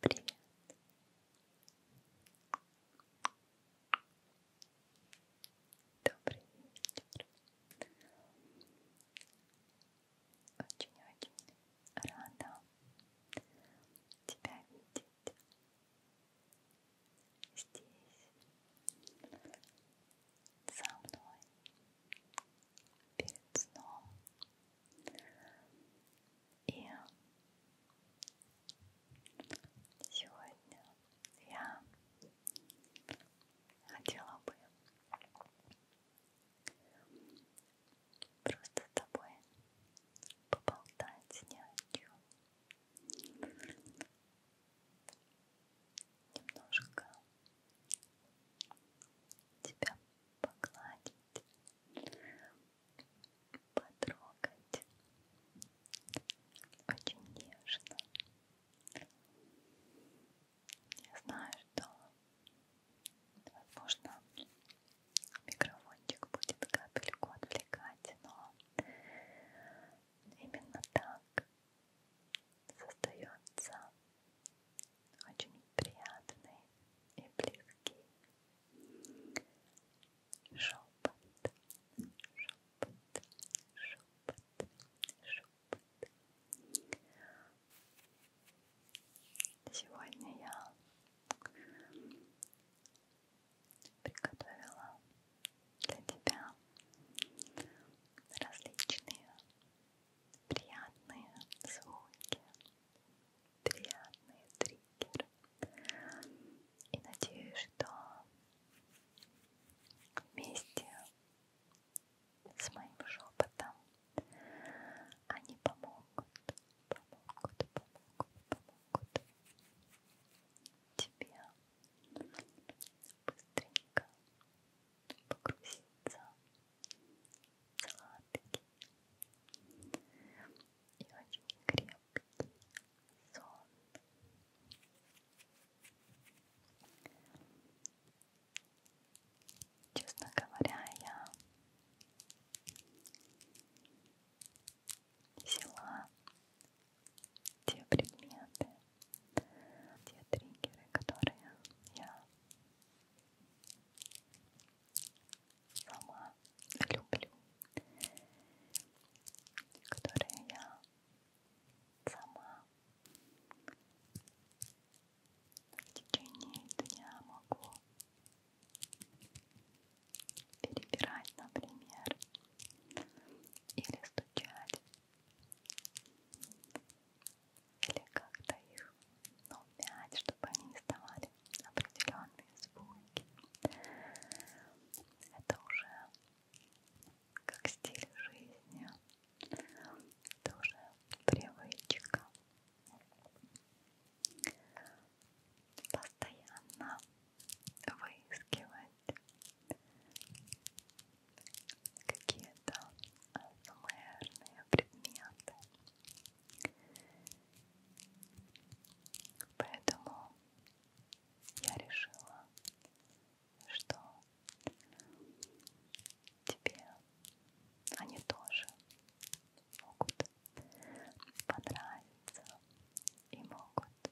Привет. Добрый вечер. Очень-очень рада тебя видеть здесь со мной перед сном и сегодня я хотела бы просто с тобой поболтать ни о чем немножко тебя погладить, потрогать очень нежно. Я знаю, что возможно микрофончик будет капельку отвлекать, но Именно так создается очень приятный и близкий шепот, шепот, шепот, шепот. Сегодня я приготовила для тебя различные приятные звуки, приятные триггеры. И надеюсь, что вместе с моим шепотом они помогут, помогут, помогут, помогут тебя быстренько погрузиться в сладкий и очень крепкий сон. Честно говоря, я взяла те предметы, те триггеры, которые я сама люблю, которые я сама в течение дня могу перебирать, например, или стучать, или как-то их ну, мять, чтобы они издавали определенные звуки. Это уже как стиль жизни, это уже привычка. Постоянно выискивать какие-то АСМРные предметы. Поэтому я решила, что тебе они тоже могут понравиться и могут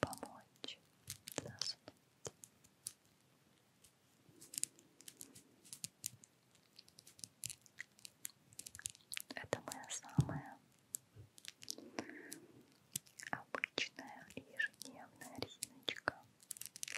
помочь заснуть. Это моя самая обычная ежедневная резиночка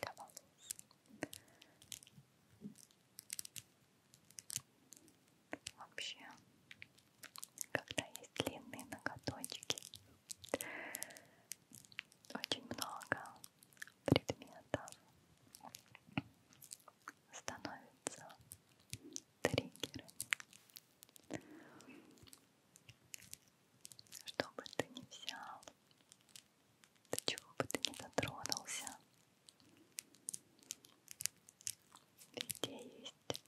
для волос. Вообще, когда есть длинные ноготочки, очень много предметов становится триггерами. Что бы ты ни взял, до чего бы ты ни дотронулся, везде есть есть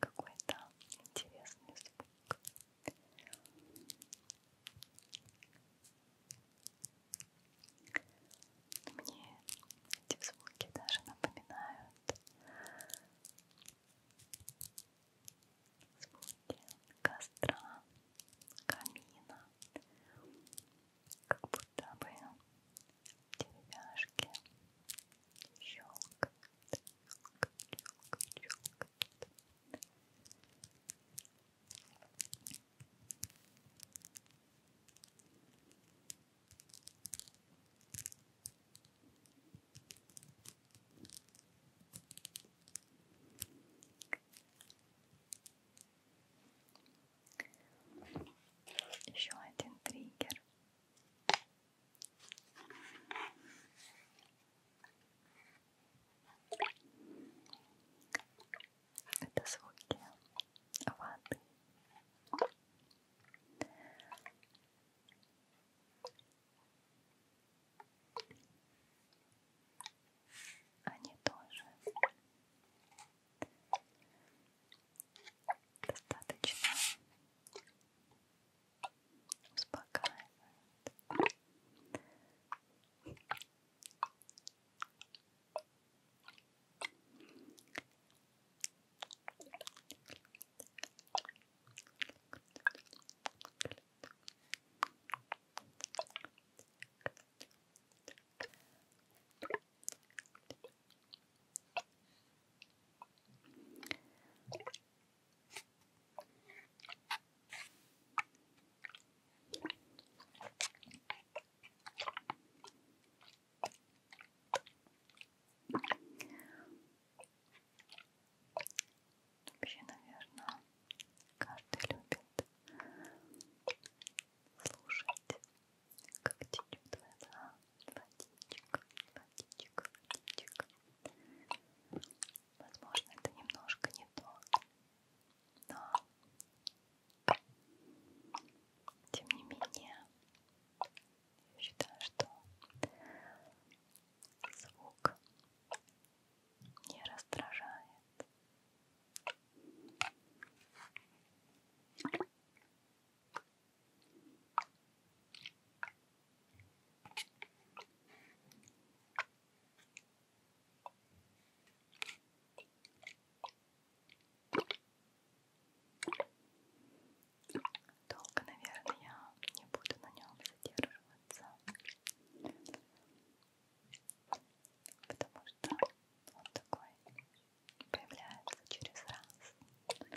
какой-то интересный звук. Мне эти звуки даже напоминают звуки костра, камина, как будто бы деревяшки, щелк, щелк, щелк, щелк. Еще один триггер. Это звуки воды. Они тоже достаточно успокаивает. Вообще, наверное, каждый любит слушать, как течет вода, водичек, водичек, водичек. Возможно, это немножко не то, но тем не менее я считаю, что звук не раздражает. Долго, наверное, я не буду на нем задерживаться, потому что он такой появляется через раз.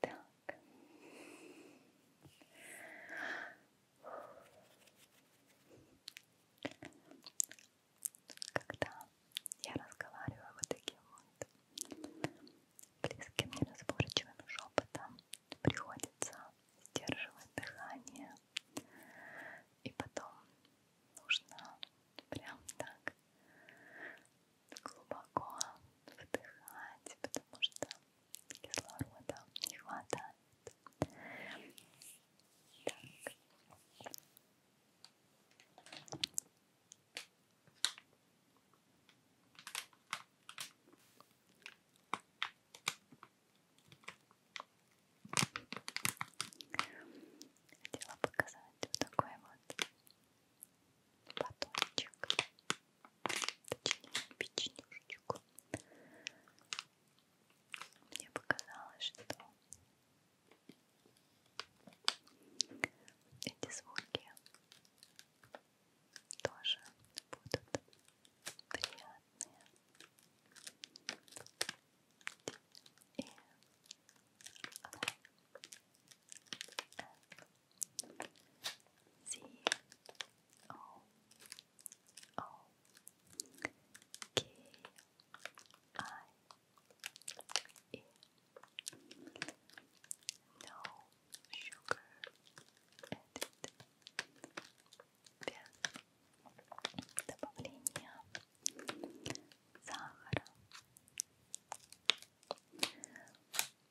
Так. Когда я разговариваю вот таким вот близким неразборчивым шепотом, приходится сдерживать дыхание, и потом нужно прям так глубоко вдыхать, потому что кислорода не хватает. Так. Хотела показать вот такой вот батончик. точнее печенюшечку. Мне показалось, что эти звуки тоже будут приятные и C O O K I E No sugar added. Без добавления сахара.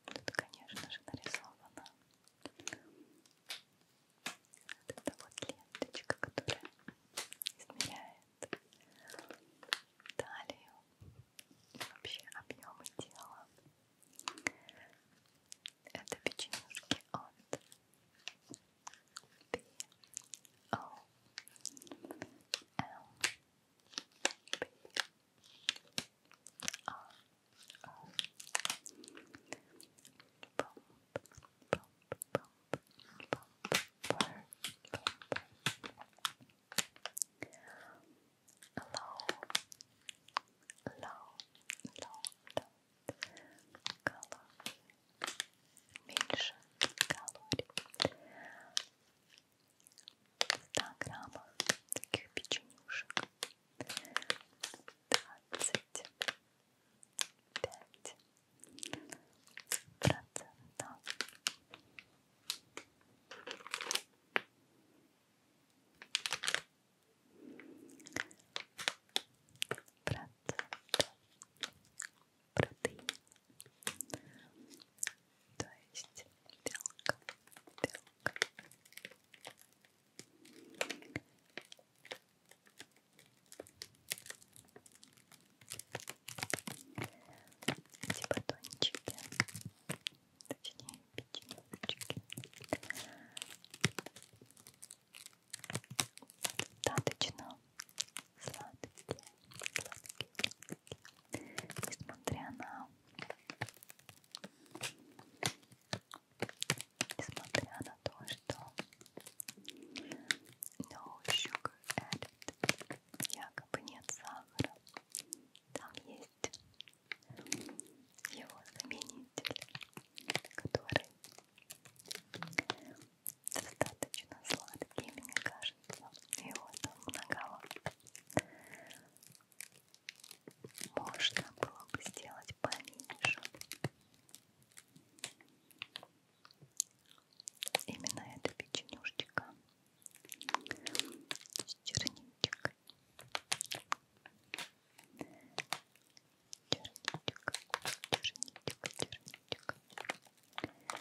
Тут, конечно же, нарисована вот эта вот ленточка, которая измеряет талию, вообще объемы тела. Это печенюшки от B.O.L. B. R. меньше калорий 100 граммов таких печенюшек двадцать пять процентов. Процентов протеин, то есть белка, белка, эти батончики, точнее печеночки. Достаточно сладкие, сладкие, несмотря на несмотря на то, что no sugar added, якобы нет сахара, там есть его заменитель, который достаточно сладкий, мне кажется, его там многовато можно было бы сделать поменьше. Именно эта печенюшечка с черничкой. Черничка, черничка, черничка.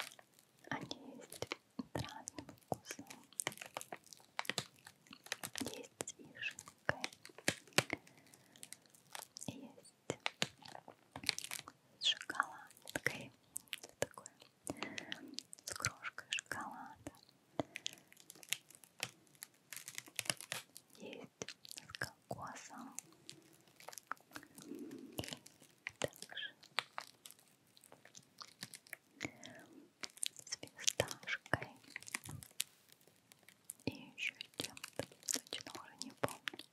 Они есть с разным вкусом. Есть с вишней, есть с шоколадкой. Это такое. С крошкой шоколада. Есть с кокосом. Также с фисташкой и еще чем-то, точно уже не помню.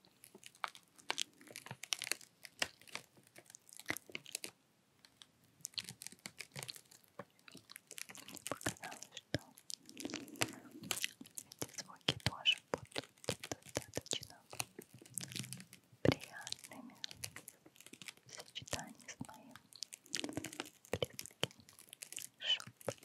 Мне показалось, что эти звуки тоже будут достаточно приятными в сочетании с моим близким шепот,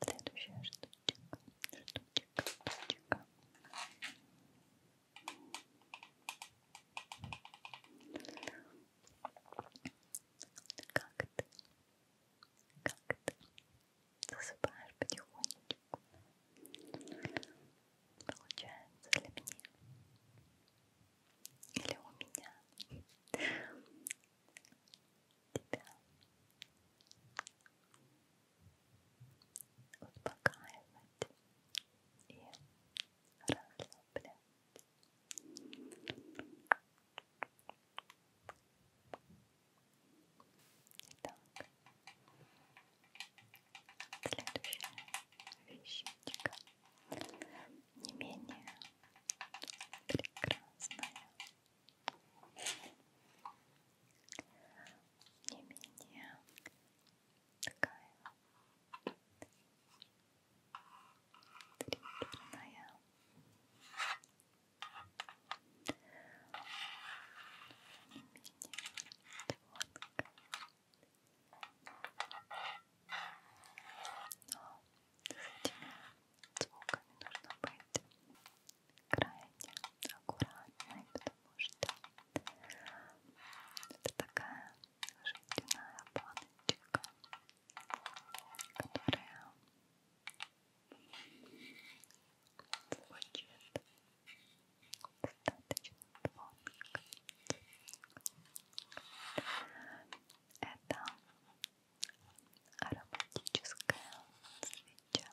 Следующее, что штучек, штучек, штучек. Как ты? Как ты? Засыпаешь потихонечку. Получается для меня. Или у меня тебя, успокаивать и расслаблять. Итак, следующая вещичка не менее прекрасная не менее такая триггерная. Не менее тонкая. Но с этими звуками нужно быть крайне аккуратной, потому что это такая жестяная баночка, которая звучит достаточно тонко. Это ароматическая свеча.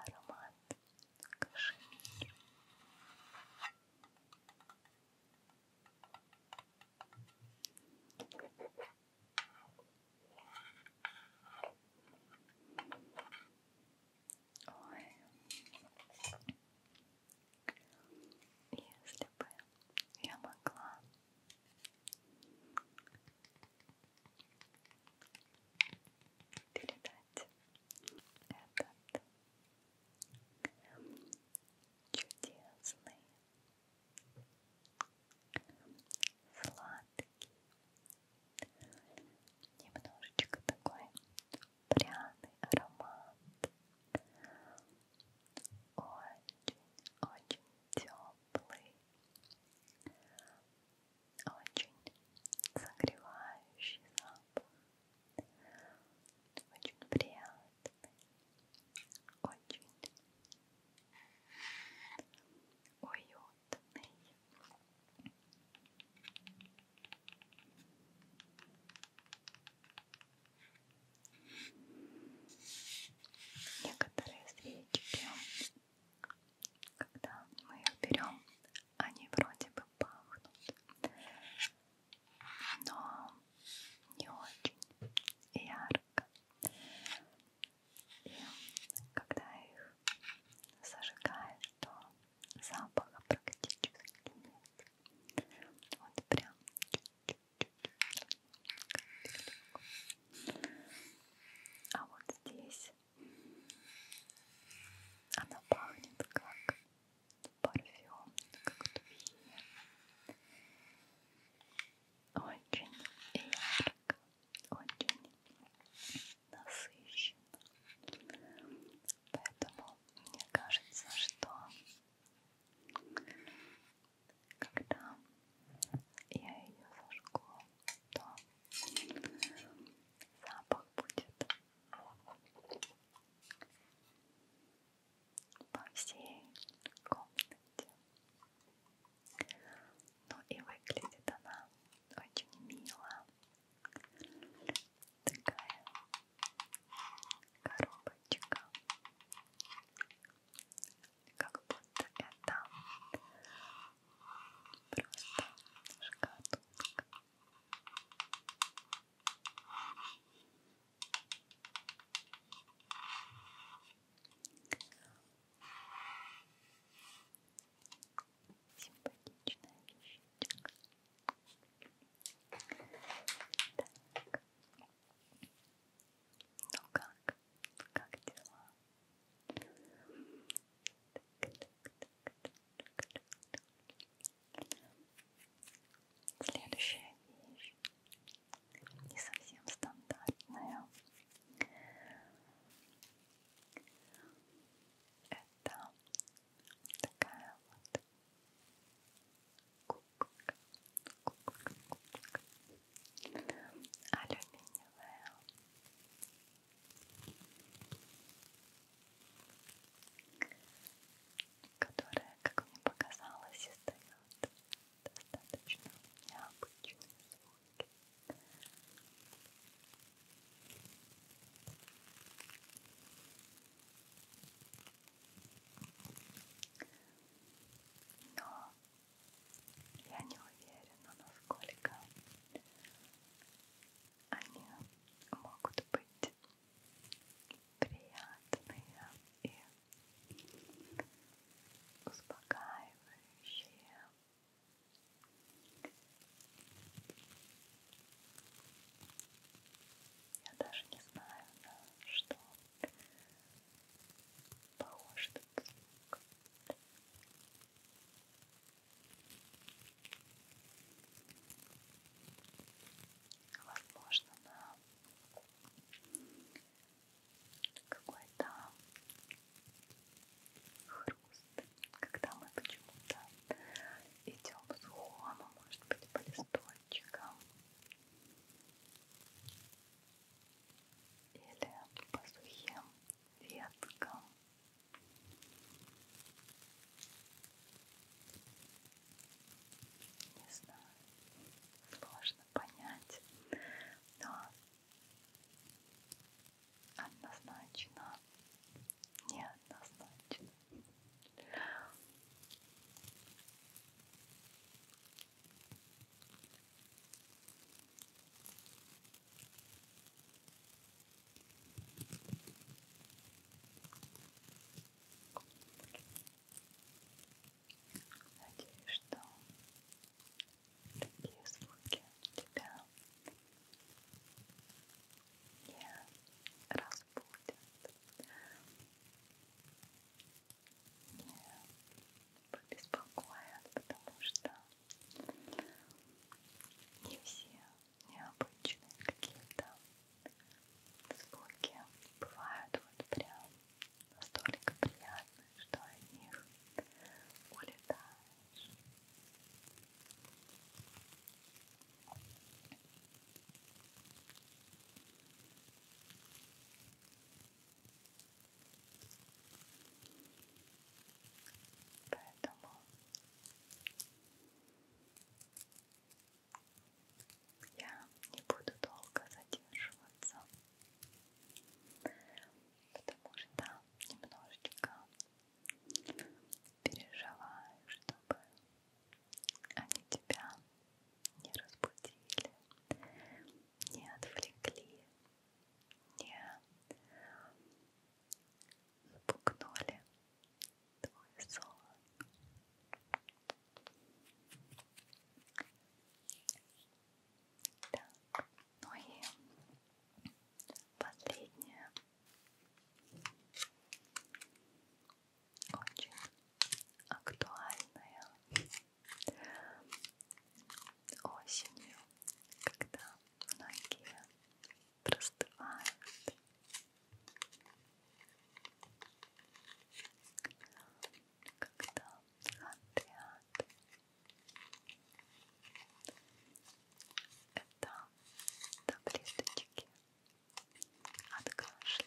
Аромат кашемир. Ой, если бы я могла передать этот чудесный сладкий немножечко такой пряный аромат очень-очень теплый, очень согревающий запах, очень приятный, очень уютный. Некоторые свечки, когда мы их берем, они вроде бы пахнут, но не очень ярко. И когда их зажигаешь, то запаха практически нет. Вот прям чуть-чуть а вот здесь она пахнет как парфюм, как духи. Очень ярко, очень насыщенно. Поэтому мне кажется, что когда я ее зажгу, то запах будет по всей комнате. Ну и выглядит она очень мило. Такая коробочка как будто это просто шкатулка. Симпатичная вещичка. Так. Ну как? Ну как дела? Следующая вещь не совсем стандартная. Это такая вот куколка, куколка, куколка, алюминиевая. Которая, как мне показалось, издает достаточно необычные звуки. Но я не уверена, насколько они могут быть приятные и успокаивающие. Я даже не знаю, на что похож этот звук. Возможно, на какой-то хруст, когда мы почему-то идем с хома, может быть, по листочкам или по сухим веткам. Не знаю, сложно понять, но однозначно, неоднозначно. Надеюсь, что такие звуки тебя не разбудят побеспокоят, потому что не все необычные какие-то звуки бывают вот прям настолько приятные, что от них улетаешь. Поэтому я не буду долго задерживаться, потому что немножечко переживаю, чтобы они тебя не разбудили, не отвлекли, не спугнули твой сон. Так, ну и последнее. Очень актуальная Осенью, когда многие простывают, когда отряд это таблеточки от кашля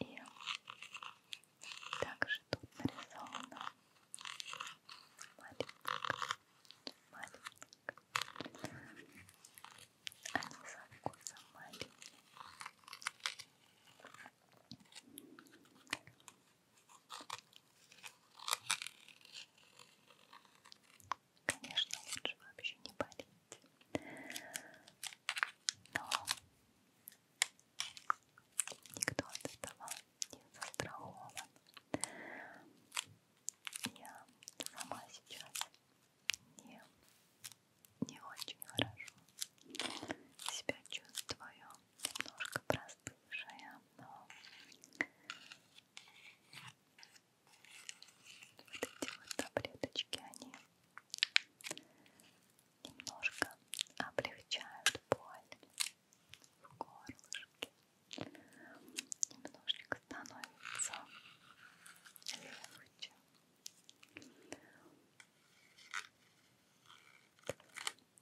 И также тут нарисовано маленькое, маленькое. Они со вкусом маленькие. Конечно, лучше вообще не болеть. Но Никто от этого не застрахован. Я сама сейчас не, не очень хорошо себя чувствую. Немножко простывшая, но вот эти вот таблеточки, они немножко облегчают боль в горлышке, немножечко становится легче.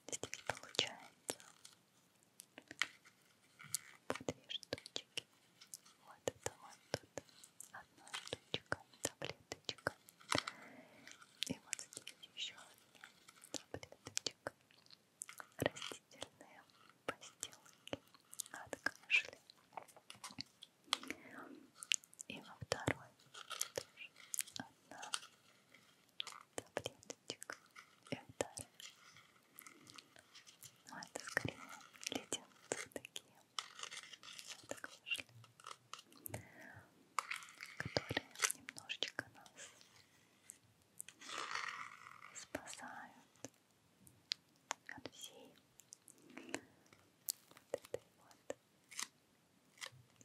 Здесь получается по две штучки. Вот это вот тут одна штучка, таблеточка. И вот здесь еще один таблеточек. Растительные постилки от кашля. И во второй тоже одна таблеточка и вторая. Но это скорее леденцы такие от кашля которые немножечко нас спасают от всей вот этой вот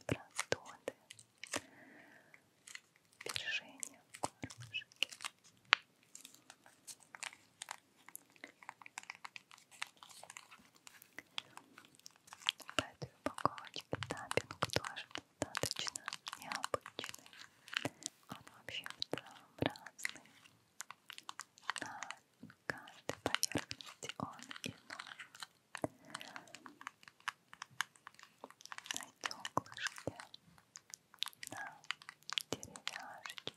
простуды, пережения в горлышке. В этой упаковочке таппинг тоже достаточно необычный. Он вообще в целом разный. На каждой поверхности он иной. На стеклышке, на деревяшке,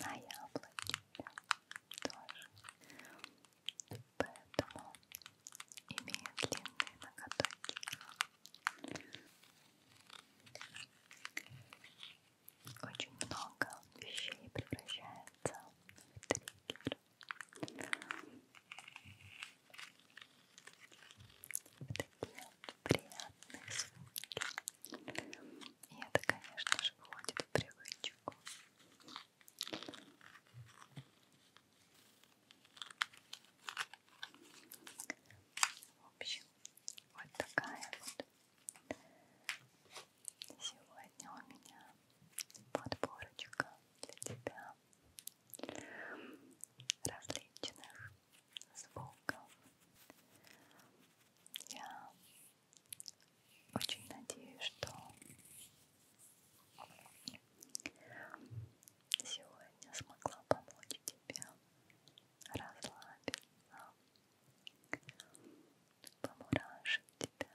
на яблоке тоже. Поэтому имею длинные ноготочки. Очень много вещей превращается в триггер. В такие приятные звуки. И это, конечно же, входит в привычку. В общем, вот такая вот сегодня у меня подборочка для тебя различных звуков. Я очень надеюсь, что сегодня смогла помочь тебе расслабиться, помурашить тебя.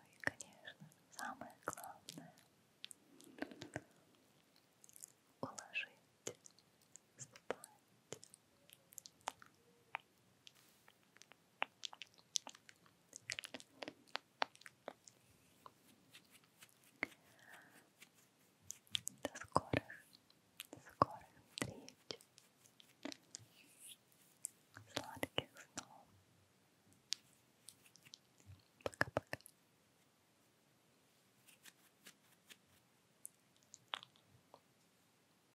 Ну и, конечно, самое главное уложить спать. До скорых, до скорых встреч, сладких снов. Пока-пока.